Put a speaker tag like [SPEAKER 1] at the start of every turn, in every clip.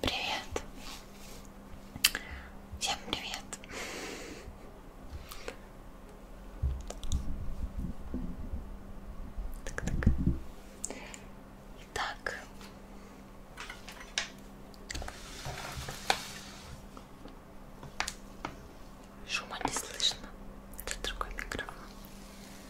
[SPEAKER 1] Привет. Всем привет. Так, так. Итак. Шума не слышно. Это другой микрофон.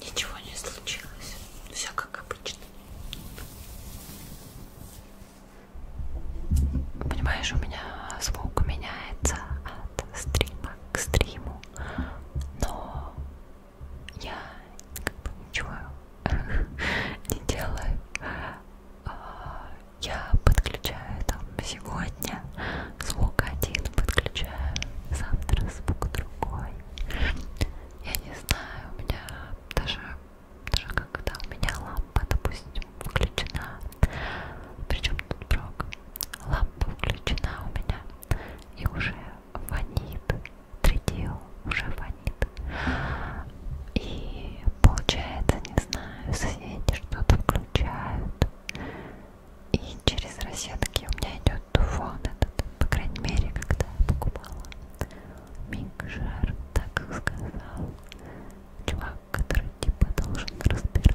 [SPEAKER 1] Ничего не случилось, все как обычно. Понимаешь, у меня звук меняется от стрима к стриму, но я как бы ничего э, не делаю. А, я подключаю там сегодня звук один, подключаю завтра звук другой. Я не знаю, у меня даже, даже когда у меня лампа, допустим, включена, причем тут брок, лампа включена у меня и уже фонит третьего уже фонит. И получается, не знаю, соседи что-то включают. И через розетки у меня идет туфон этот, по крайней мере, когда я покупала микшер, так как сказал чувак, который типа должен разбираться.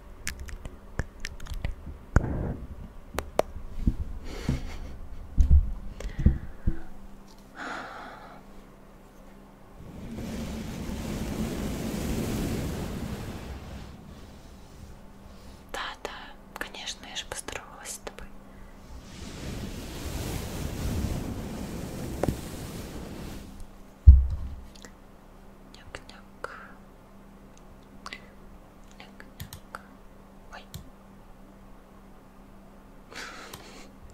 [SPEAKER 1] Да, да, конечно, я же поздоровалась с тобой. Няк-няк. Ой.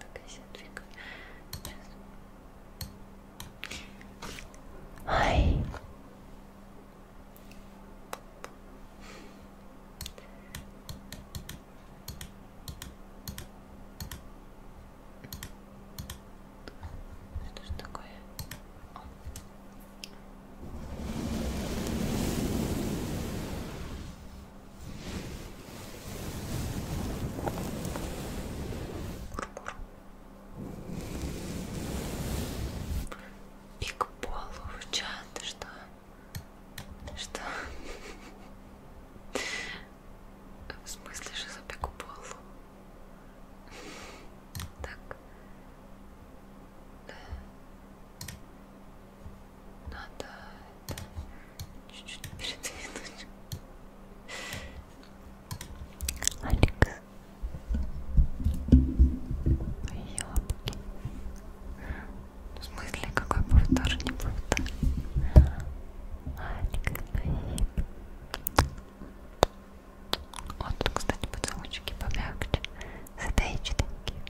[SPEAKER 1] Такая себя двигает. Ай. Это что такое? О. Бур -бур. Пик полу в чат, что? Что? В смысле, что за пик полу? Так. Да. Надо это чуть-чуть передвинуть. Алекс. Мои лапки. В смысле, какой повтор, не повтор? Алекс, мои. Вот, кстати, поцелуйчики помягче. Задайте такие.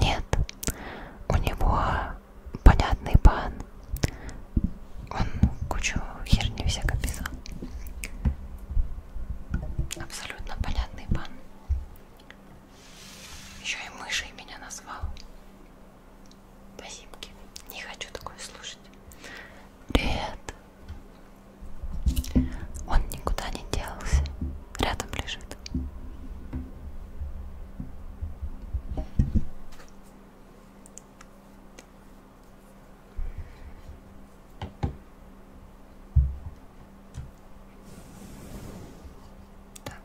[SPEAKER 1] Нет, у него понятный пан, он кучу херни всяко писал. Абсолютно понятный пан. Еще и мышей меня назвал. Спасибо. Не хочу такое слушать. Привет. Он никуда не делся. Рядом лежит. Так.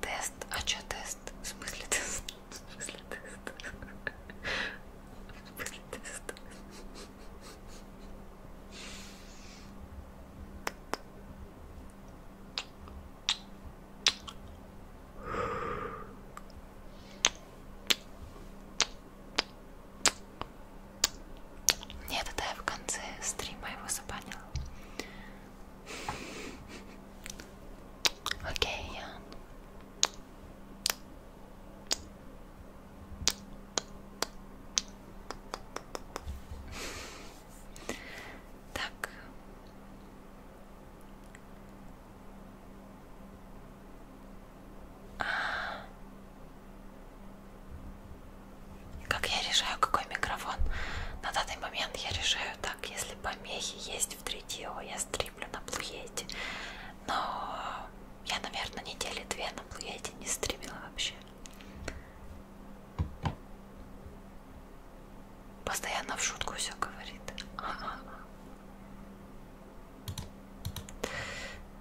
[SPEAKER 1] Тест. А что тест? В смысле тест? В смысле тест? В смысле тест? Нет, это я в конце стрима его забанила. Окей, okay, Ян. Так. Как я решаю, какой микрофон? На данный момент я решаю так, если помехи есть в 3DO, я стримлю на плуете. Но я, наверное, недели две на плуете не стримила вообще. Постоянно в шутку все говорит. А -а -а.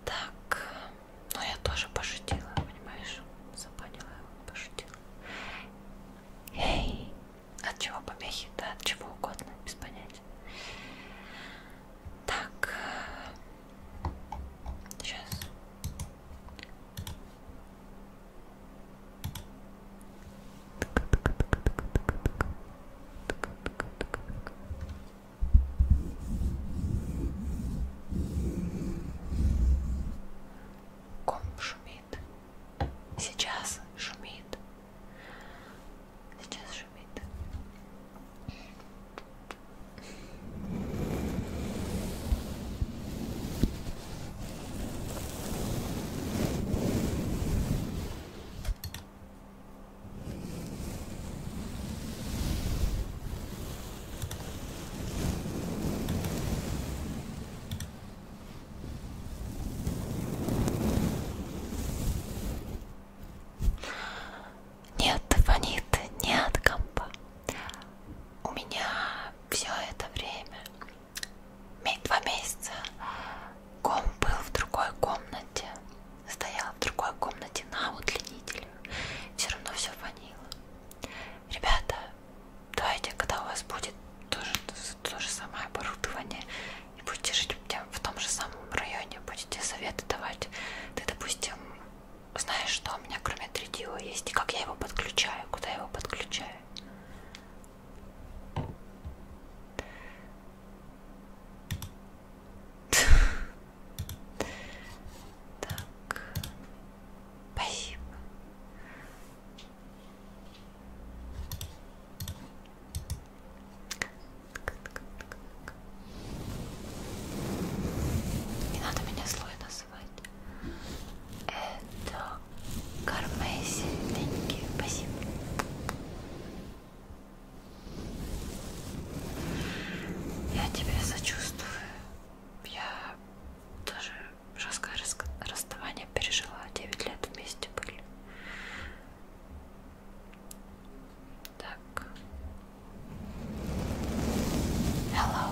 [SPEAKER 1] Так, ну я тоже пошутила, понимаешь? Запанила, пошутила. Эй, от чего помехи? Да, от чего угодно, без понятия. Так, сейчас. Э, Ком шумит. Сейчас шумит. Сейчас шумит. Сейчас нет, фонит не от компа. У меня все это время два месяца ком был в другой комнате, стоял в другой комнате на удлинителе, все равно все фанило. Ребята, давайте, когда у вас будет тоже то, то же самое оборудование, и будете жить в том же самом районе, будете советы давать. Ты, допустим, знаешь, что у меня кроме 3DO есть, и как я его подключаю, куда я его подключаю. Так, спасибо. Не надо меня злой называть. Это Кормайся, Деньги. Спасибо. Я тебя сочувствую. Я тоже жесткое расставание пережила. 9 лет вместе были. Так. Hello.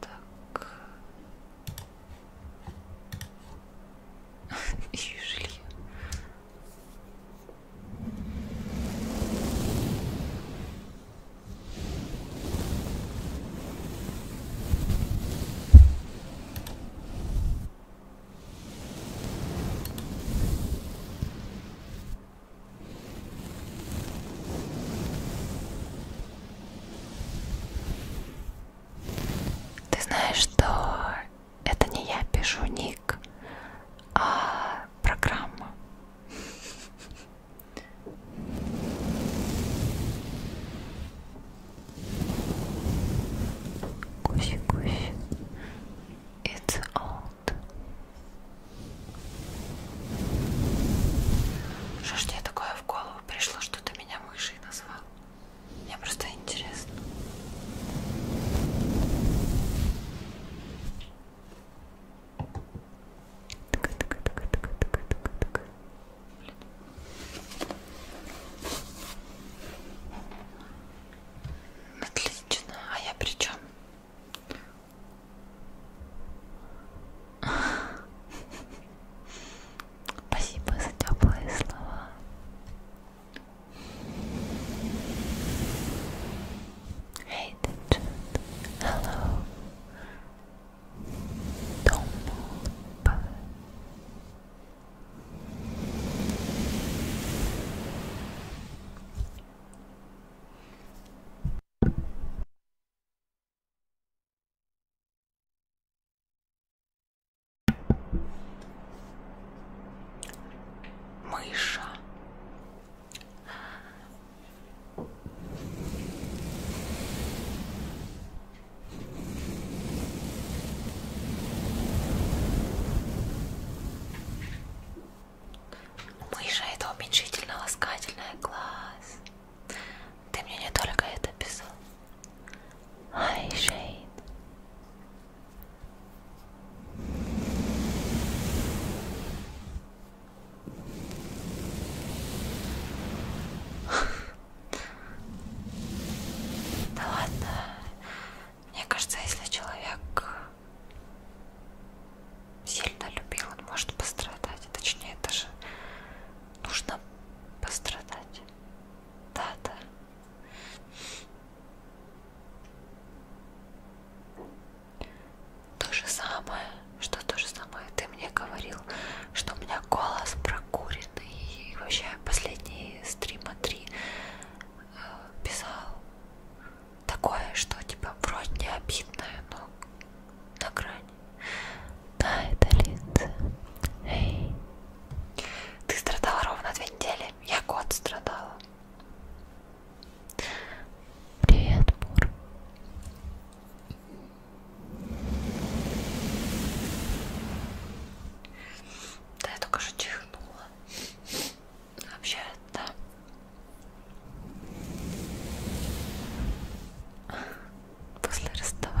[SPEAKER 1] Так. И шли. Ты знаешь, что это не я пишу ник, а программа. Куси, куси. It's old. Что ж тебе такое в голову пришло, что ты меня мышей назвал? Мне просто интересно. Отлично, а я при чем? Спасибо за теплые слова. Hey, Hello. Don't move. Мыша. Мыша это уменьшительно ласкательное глаз. Ты мне не только это писал. А Hi, Shane. Да ладно. Мне кажется, если человек сильно любил, он может пострадать. Точнее, даже нужно пострадать. Да-да. То же самое, что то же самое ты мне говорил, что у меня голос прокуренный. И вообще последний стрима 3 э, писал такое, что типа вроде не обидное, но на грани. Да, это Линдзе. Эй. Ты страдала ровно две недели. Я год страдала. Привет, Мур. Да, я только что чихнула. Вообще, да после расставания. Хорошо.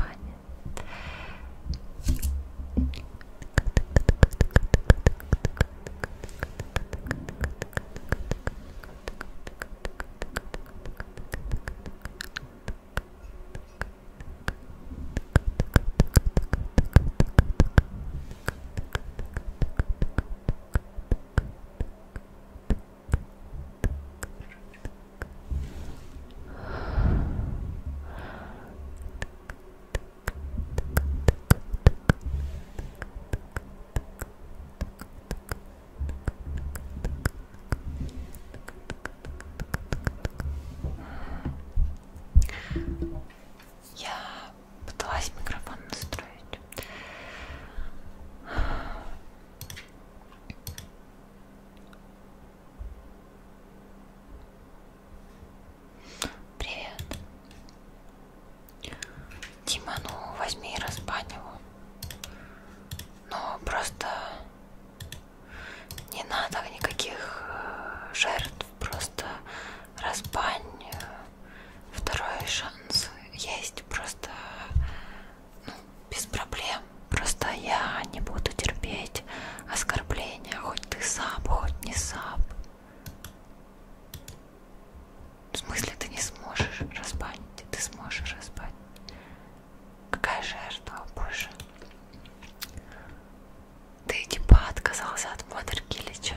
[SPEAKER 1] Я пыталась микрофон настроить. Привет. Дима, ну возьми и разбань его. Но просто не надо никаких э, жертв, просто разбань. Э, второй шанс есть, просто ну, без проблем. Просто я не буду терпеть оскорбления, хоть ты сап, хоть не сап. В смысле ты не сможешь разбанить, ты сможешь разбанить. Какая жертва, боже. Ты типа отказался от модерки или чё?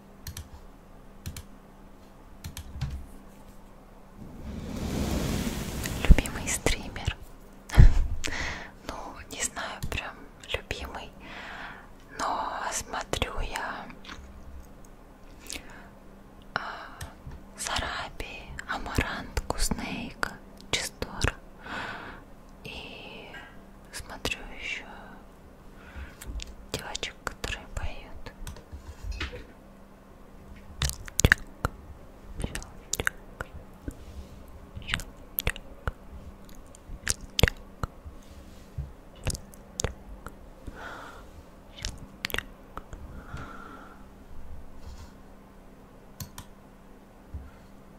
[SPEAKER 1] Любимый стример. ну, не знаю, прям любимый. Но смотрю я а, Сараби, Амарант, Куснейка, Чистора. И смотрю еще девочек, которые поют. Щелчок, щелчок, щелчок, щелчок,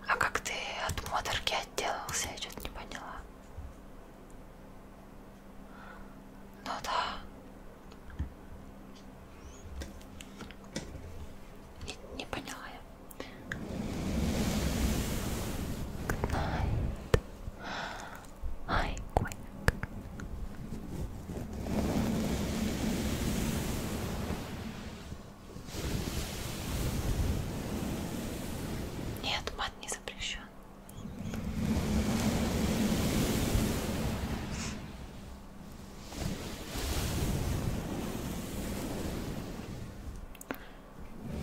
[SPEAKER 1] а как ты от модерки отделался? Я что-то не поняла. Ну да. Не, не поняла я. Good night. Ай, quick. Нет, мат не запрещен.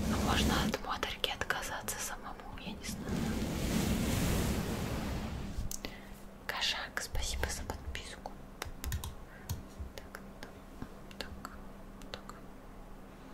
[SPEAKER 1] Но можно от моторки отказаться самому, я не знаю. Кошак, спасибо за подписку. Так, так, так, так.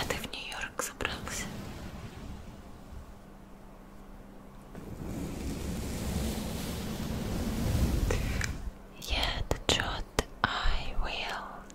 [SPEAKER 1] А ты в Нью-Йорк собрался? Yeah, the truth I will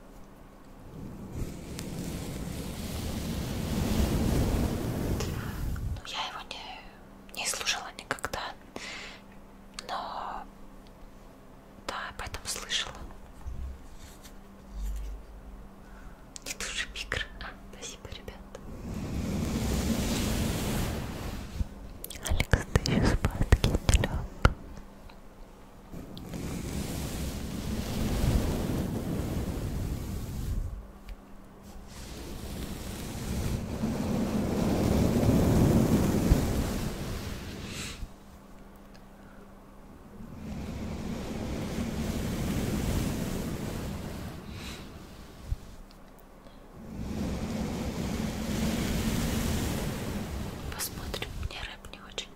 [SPEAKER 1] Ну, я его не, не слушала никогда, но да, об этом слышала. Не туши микро. А, спасибо, ребята. Алекс, ты еще спал, такие Посмотрим, мне рэп не очень.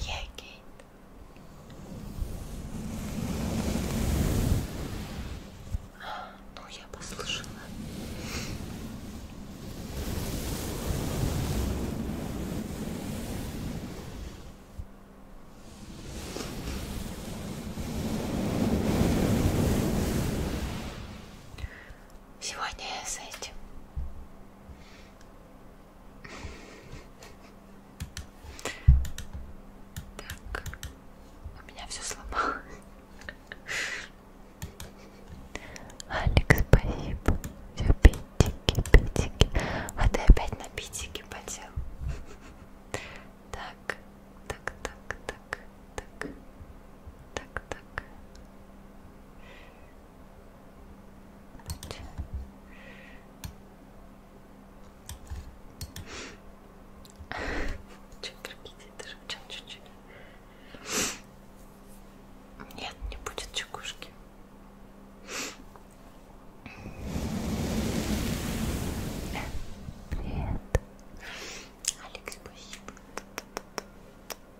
[SPEAKER 1] Я Кейт. Ну, я послушала. Сегодня я с этим так, у меня все сломалось. Алекс, спасибо. Все пятики, пятики. А ты опять на пятики потел. Так, так, так, так, так, так, так. Чуть прикиньте, даже чуть-чуть. Нет, не будет чекушки. Привет. Алекс, спасибо.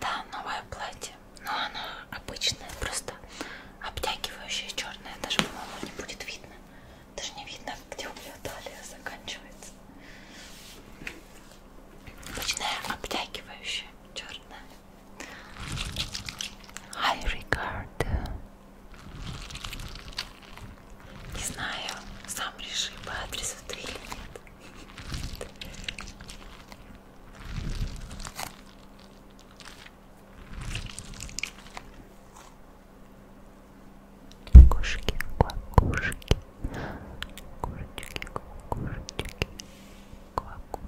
[SPEAKER 1] Да, новое платье. Но оно обычное, просто обтягивающее черное. Даже, по-моему, не будет видно. Даже не видно, где у меня талия заканчивается. Обычное обтягивающее черное. I regard не знаю, сам реши по адресу ты или нет. Кошки, кошки, кошечки, кошечки, кошечки, кошечки,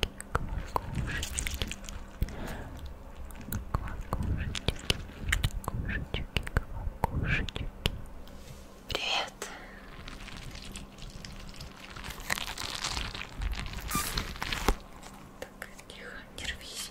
[SPEAKER 1] кошечки, кошечки кошечки, кошечки. Привет. Так, тихо, не рвись.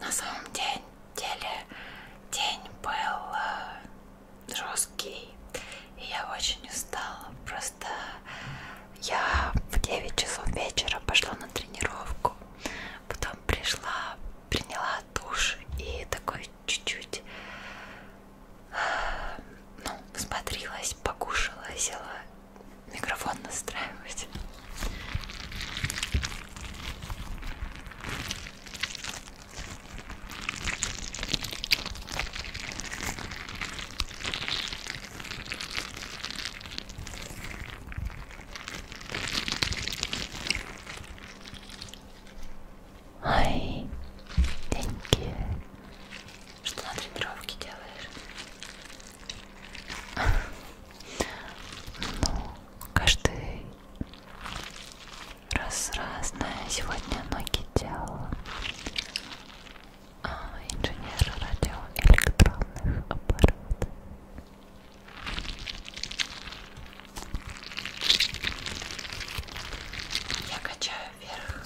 [SPEAKER 1] На самом деле день был э, жесткий, и я очень устала. Просто я в 9 часов вечера пошла на тренировку, потом пришла, приняла душ и такой чуть-чуть э, ну, смотрелась, покушала, села микрофон настраивать. Ай, деньги. Что на тренировке делаешь? Ну, каждый раз разное. Сегодня ноги делала. А, инженер радиоэлектронных аппаратов. Я качаю вверх.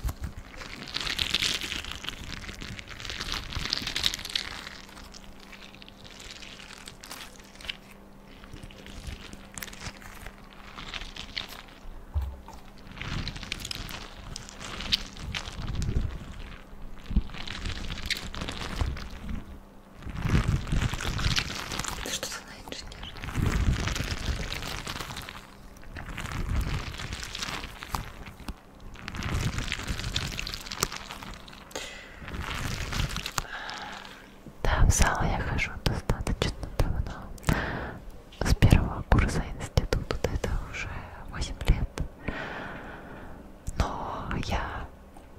[SPEAKER 1] Что ты на инженер? Да, в зал я хожу достаточно давно. С первого курса института это уже 8 лет. Но я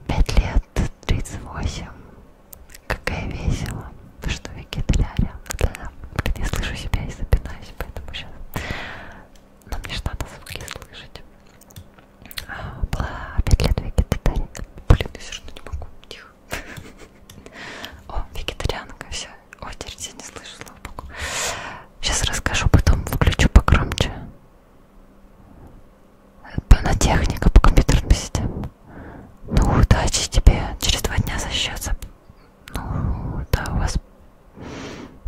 [SPEAKER 1] 5 лет 38. Какая весело. Вы что, Википедиаря? Да, не слышу себя и запинаюсь, поэтому сейчас но мне же надо звуки слышать. А, была пять лет вегетарианка. Блин, я все равно не могу. Тихо. О, вегетарианка, все. О, теперь я не слышу, слава богу. Сейчас расскажу, потом выключу погромче. На техника по компьютерным системам. Ну, удачи тебе. Через два дня за счет. Ну, да, у вас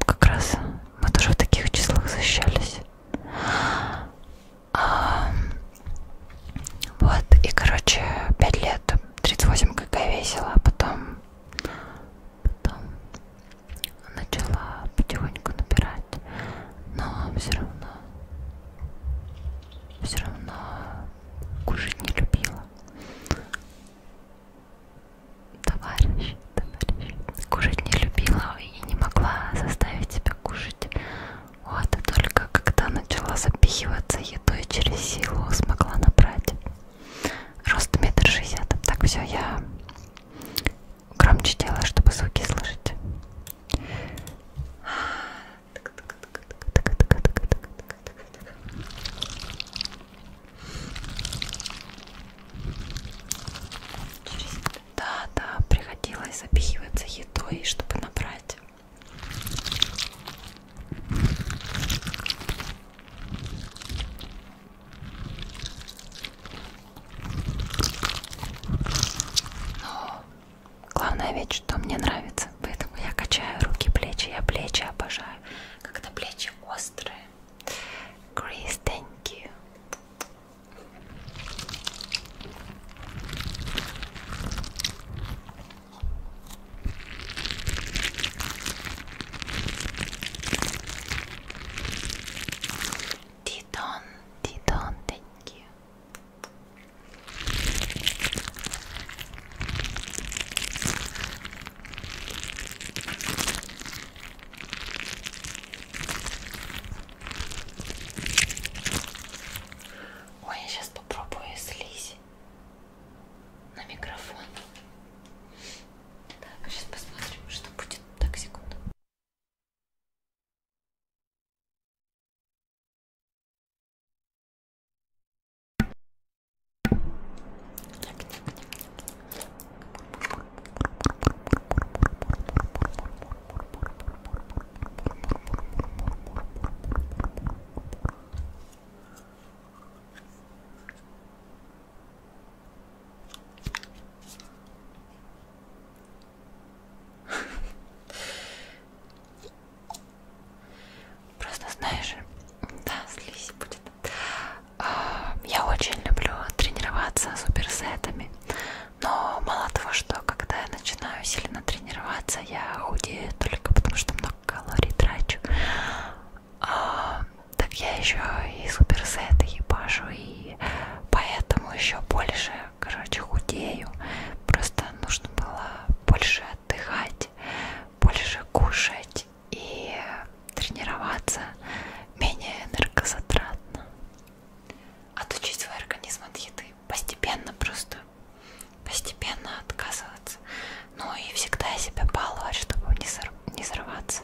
[SPEAKER 1] как раз мы тоже в таких числах защищались. А, вот, и, короче, 5 лет, 38 как я весила, а потом, потом начала потихоньку набирать, но все равно, все равно кушать не любила товарищ, товарищ. Кушать не любила и не могла заставить себя кушать. Вот, и только когда начала запихиваться едой через силу, смогла набрать. Рост метр шестьдесят. Так, все, я громче делаю, чтобы звуки слышать. Через... Да, да, приходилось запихиваться едой, чтобы набрать. Но главная ведь, что мне нравится, поэтому я качаю руки, плечи, я плечи обожаю, когда плечи острые. Grace, thank you. Titon, Titon, thank you. Ой, я сейчас попробую слизь на микрофон. Так, сейчас посмотрим, что будет. Так, секунду. Так, так, так, так. Просто знаешь, да, слизь будет. Эм, я очень люблю тренироваться суперсетами, но мало того, что когда я начинаю сильно тренироваться, я худею только потому, что много калорий трачу, а, так я еще и суперсеты ебашу, и поэтому еще больше, короче, худею. Просто нужно было больше отдыхать, больше кушать и тренироваться менее энергозатратно. Отучить свой организм от еды. Постепенно просто. Постепенно отказываться. Ну и всегда себя баловать, чтобы не, сор... не взорваться.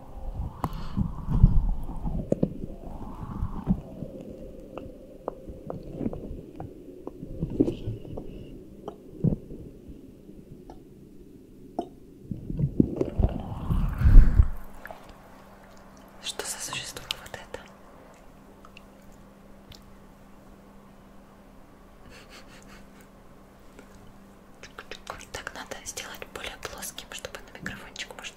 [SPEAKER 1] Что за существо вот это? Так надо сделать более плоским, чтобы на микрофончик можно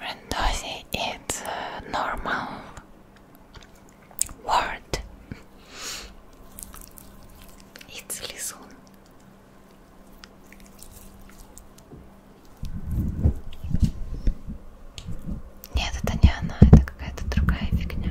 [SPEAKER 1] Rendosi is a normal word. It's Lizun. Нет, это не она, это какая-то другая фигня.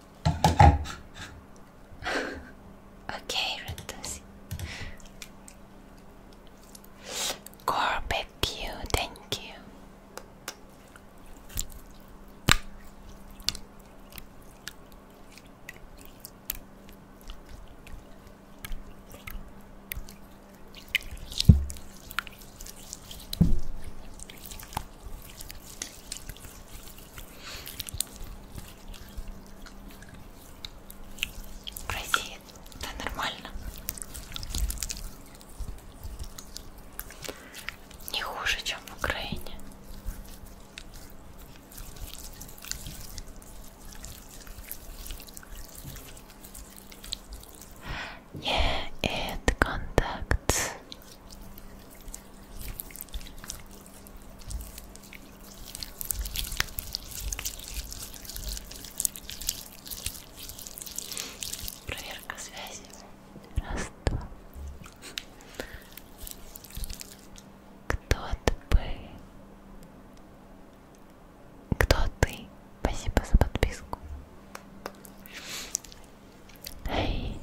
[SPEAKER 1] okay, Rentusi. Gorbek you, thank you. В России да нормально. Не хуже, чем в Украине. Yeah, it contacts. Проверка связи. Раз, два. Кто ты? Кто ты? Спасибо за подписку. Эй.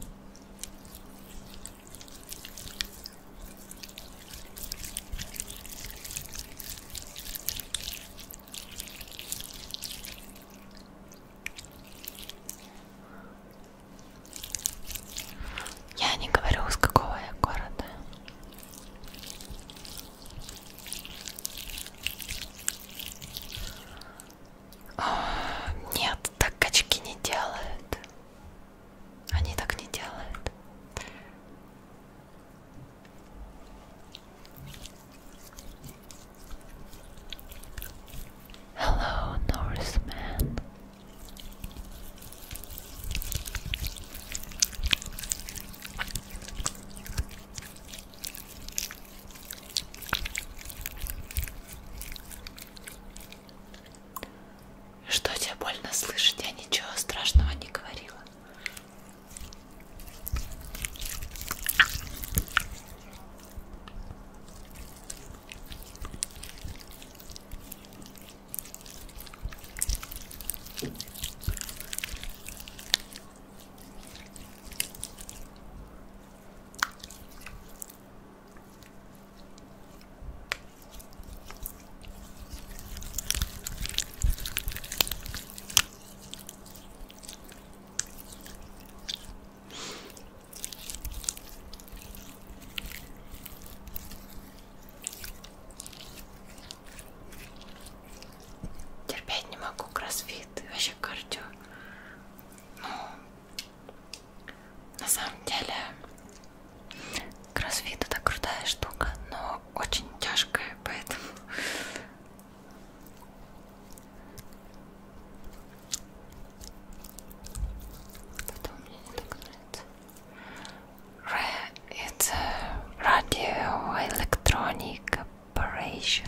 [SPEAKER 1] Я не говорю, с какого я города. Нет, так качки не делают. Они так не делают. Hello, Norseman. Что тебе больно слышать? Я ничего страшного не говорила. Терпеть не могу кроссфит, вообще кардио. Ну, на самом деле кроссфит это крутая штука, но очень тяжкая, поэтому это мне не так нравится. It's a radio electronic operation.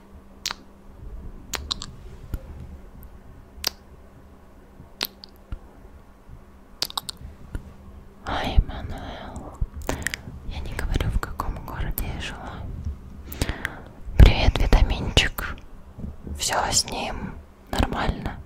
[SPEAKER 1] Ай, Мануэл. Я не говорю, в каком городе я жила. Привет, витаминчик. Все с ним нормально.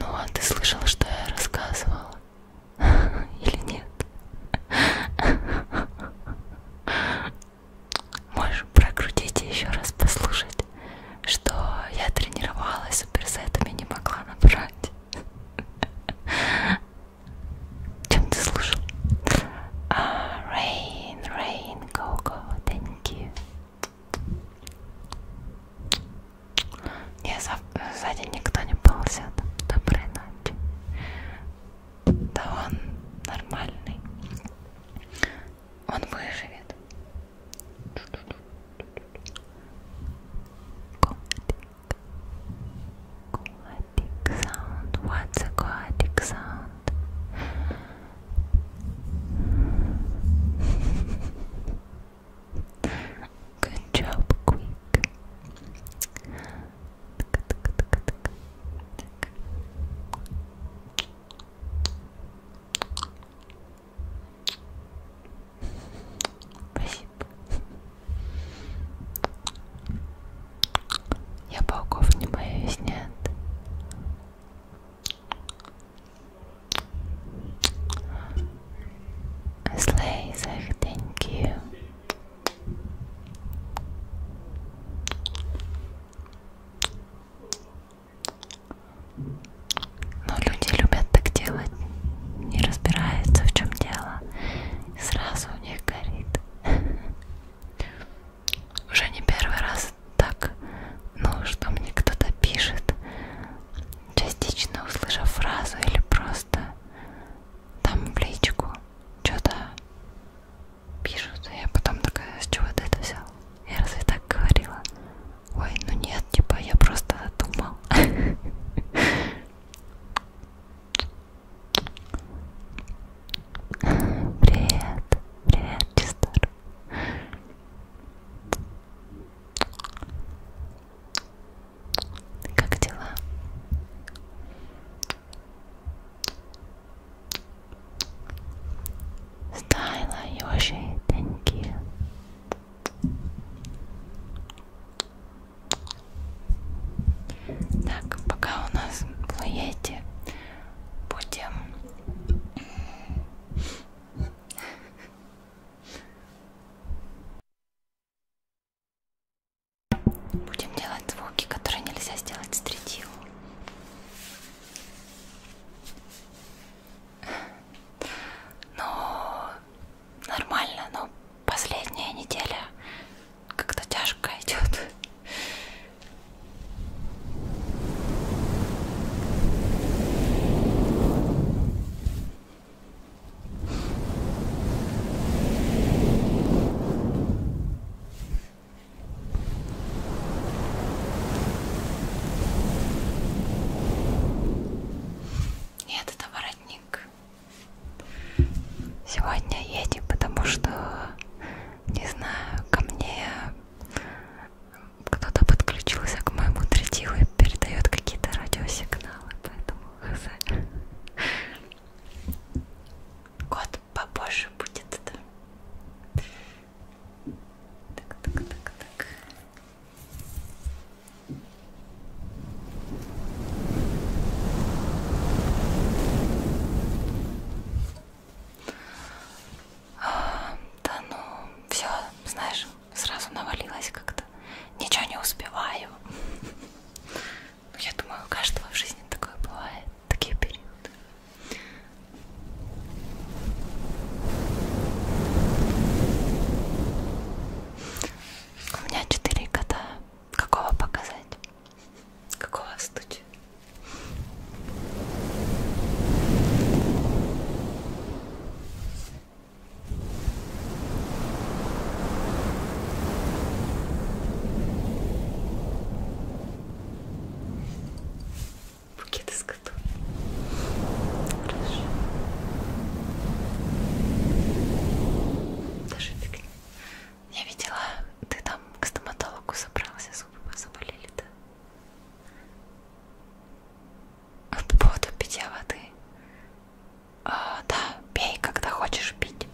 [SPEAKER 1] Ну а ты слышала, что я рассказывала? Или нет? Можешь прокрутить и еще раз послушать, что я тренировалась суперсетами, не могла набрать. Чем ты слушал? Uh, rain, rain, go, go, thank you. Не, сзади никто не ползет. Доброй ночи. Да он нормальный. Он выживет. Котик, Aquatic sound. What's aquatic sound? Good job, quick. Я пауков не боюсь, нет. Слейзер, thank you. Но люди любят так делать, не разбираются в чем дело сразу у них горит. Уже не первый раз так, ну, что мне кто-то пишет, частично услышав фразу или просто там в личку что-то пишут, и я потом такая, «А с чего ты это взял? Я разве так говорила? Ой, ну нет, типа я просто думал. Привет, привет, Чистор. Как дела? Стайла, Йоши, thank you. Так, пока у нас плоете, будем будем делать звуки, которые нельзя сделать с третью. Но нормально, но последняя неделя как-то тяжко идет. Нет, это воротник. Сегодня едем, потому что, не знаю, ко мне кто-то подключился к моему третилу и передает какие-то радиосигналы, поэтому хз. Год попозже будет это. Так, так, так, так. Да ну, все, знаешь, сразу навалилась как-то. Ничего не успеваю. Ну, я думаю, у каждого в жизни такое бывает, такие периоды. У меня четыре кота. Какого показать? Какого стуча? Букет из котов. Хорошо. Даже фигня. Я видела, ты там к стоматологу собрался, зубы заболели, да? А От поводу питья воды. А, да, пей, когда хочешь пить.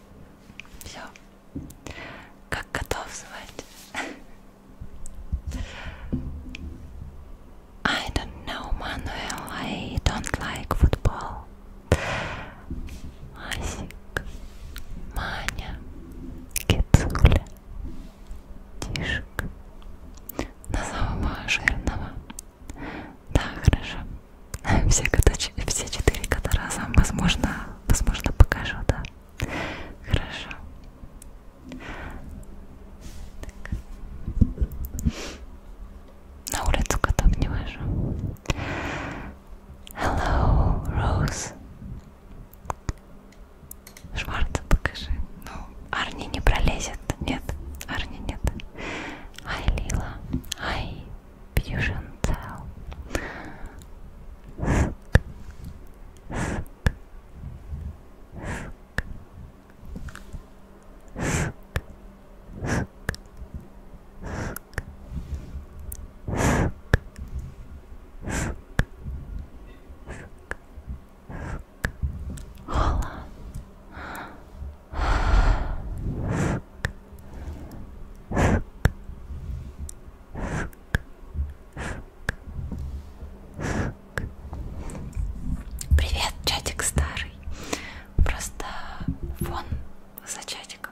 [SPEAKER 1] Все. Как готов звать? I don't know, Manuel. I don't like football. Асик, Маня, Кицуля, Тишек. На самого жирного. Да, хорошо. Все, все четыре кота разом, возможно, возможно покажу, да. Хорошо. Так. На улицу котов не вожу. Hello, Rose. Шварца покажи. Ну, Арни не пролезет. Нет, Арни нет. Ай, Лила. Ай, Fusion Cell. Ск. Ск. Ск. Ск. Hola. Привет, чатик старый. Просто фон за чатиком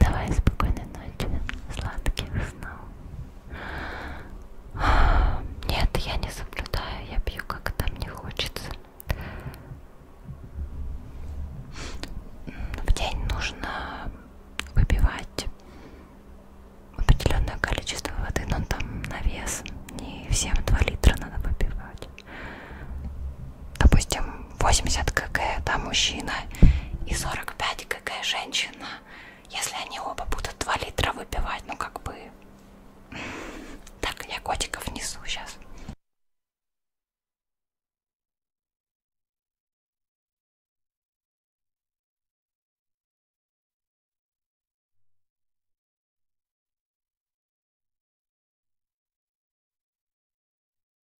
[SPEAKER 1] Давай спокойной ночи, сладких снов. Нет, я не соблюдаю, я пью, когда мне хочется. В день нужно выпивать определенное количество воды, но там на вес не всем 2 литра надо выпивать. Допустим, 80 кг, да, мужчина, и 45 кг женщина если они оба будут 2 литра выпивать, ну как бы... Так, я котиков несу сейчас.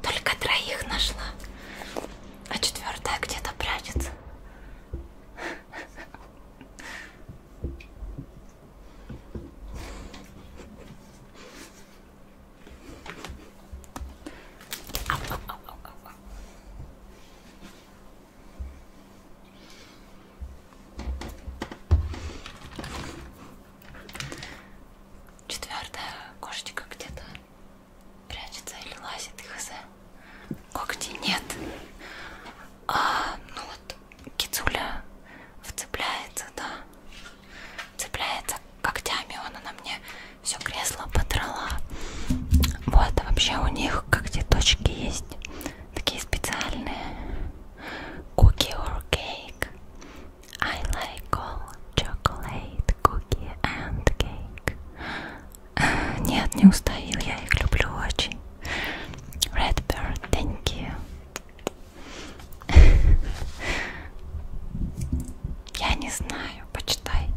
[SPEAKER 1] Только троих нашла, а четвертая где-то прячется. Четвертая кошечка где-то прячется или лазит, хз. Когти нет. А, ну вот кицуля вцепляется, да, цепляется когтями, она на мне все кресло подрала. Вот, а вообще у них как точки есть, такие специальные. Cookie or cake? I like all chocolate, cookie and cake. Нет, не устоил, я их люблю очень. Redbird, thank you. Я не знаю, почитай.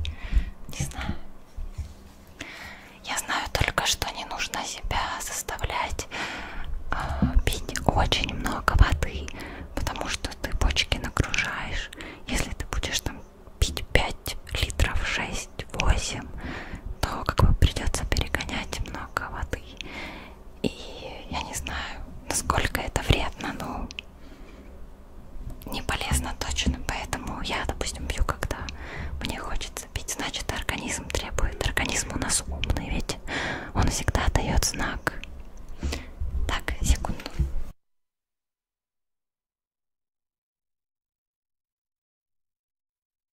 [SPEAKER 1] Не знаю. Я знаю только, что не нужно себя заставлять э, пить очень много воды, потому что ты почки нагружаешь. Если ты будешь там пить 5 литров, 6, 8, то как бы придется перегонять много воды. И я не знаю, насколько это вредно, но не полезно точно. Поэтому я, допустим, пью, когда мне хочется пить. Значит, организм требует. Организм у нас умный, ведь он всегда дает знак. Так, секунду.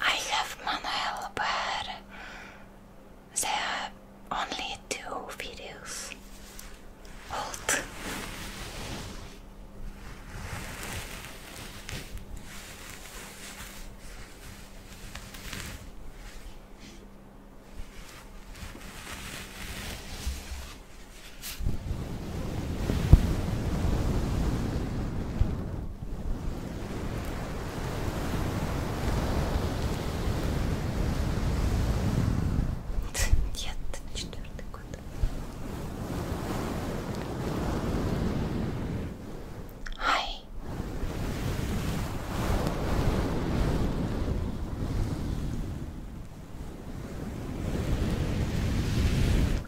[SPEAKER 1] I have Manuel, but there are only two videos old. Нет, четвертый год. Ай.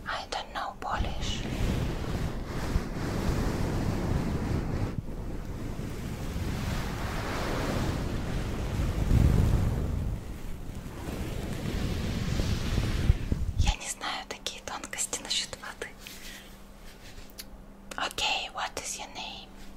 [SPEAKER 1] I don't know Polish. Я не знаю такие тонкости насчет воды. Окей, okay, what is your name?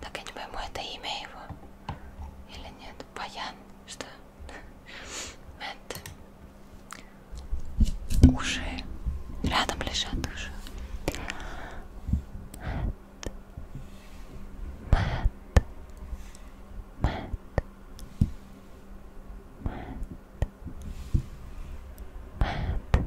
[SPEAKER 1] Так, я не пойму, это имя его или нет? Баян, что? Мэтт. Уши. Рядом лежат уши. Мэтт. Мэтт. Мэтт. Мэтт. Мэтт.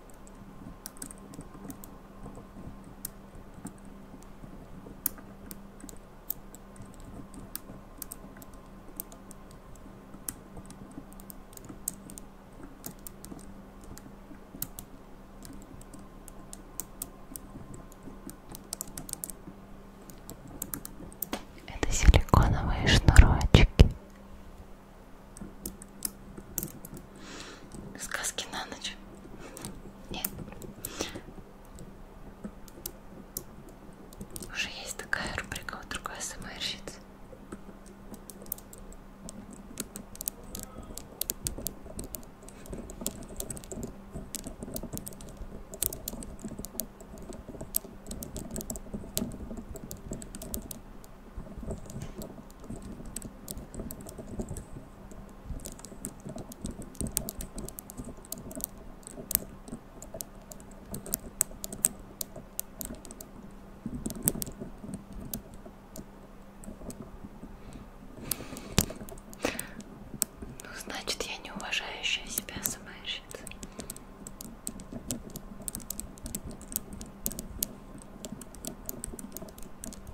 [SPEAKER 1] Это силиконовые шнурочки. Сказки на ночь? Нет. Уже есть такая рубрика у другой СМРщицы. Ну, значит, я не уважающая себя СМРщица.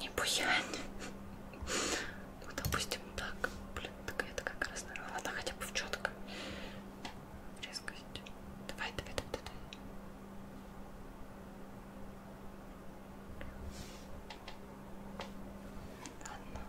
[SPEAKER 1] Не буянь. Ну, допустим, так. Блин, так это как раз, наверное, ладно, хотя бы в четко. Резкость. Давай, давай, давай, давай. Ладно.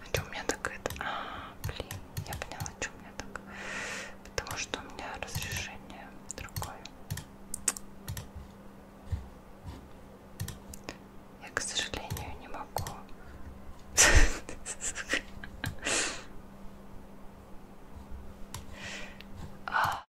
[SPEAKER 1] А что у меня так это? А, блин, я поняла, что у меня так. Потому что у меня разрешение другое. Я, к сожалению, не могу. А.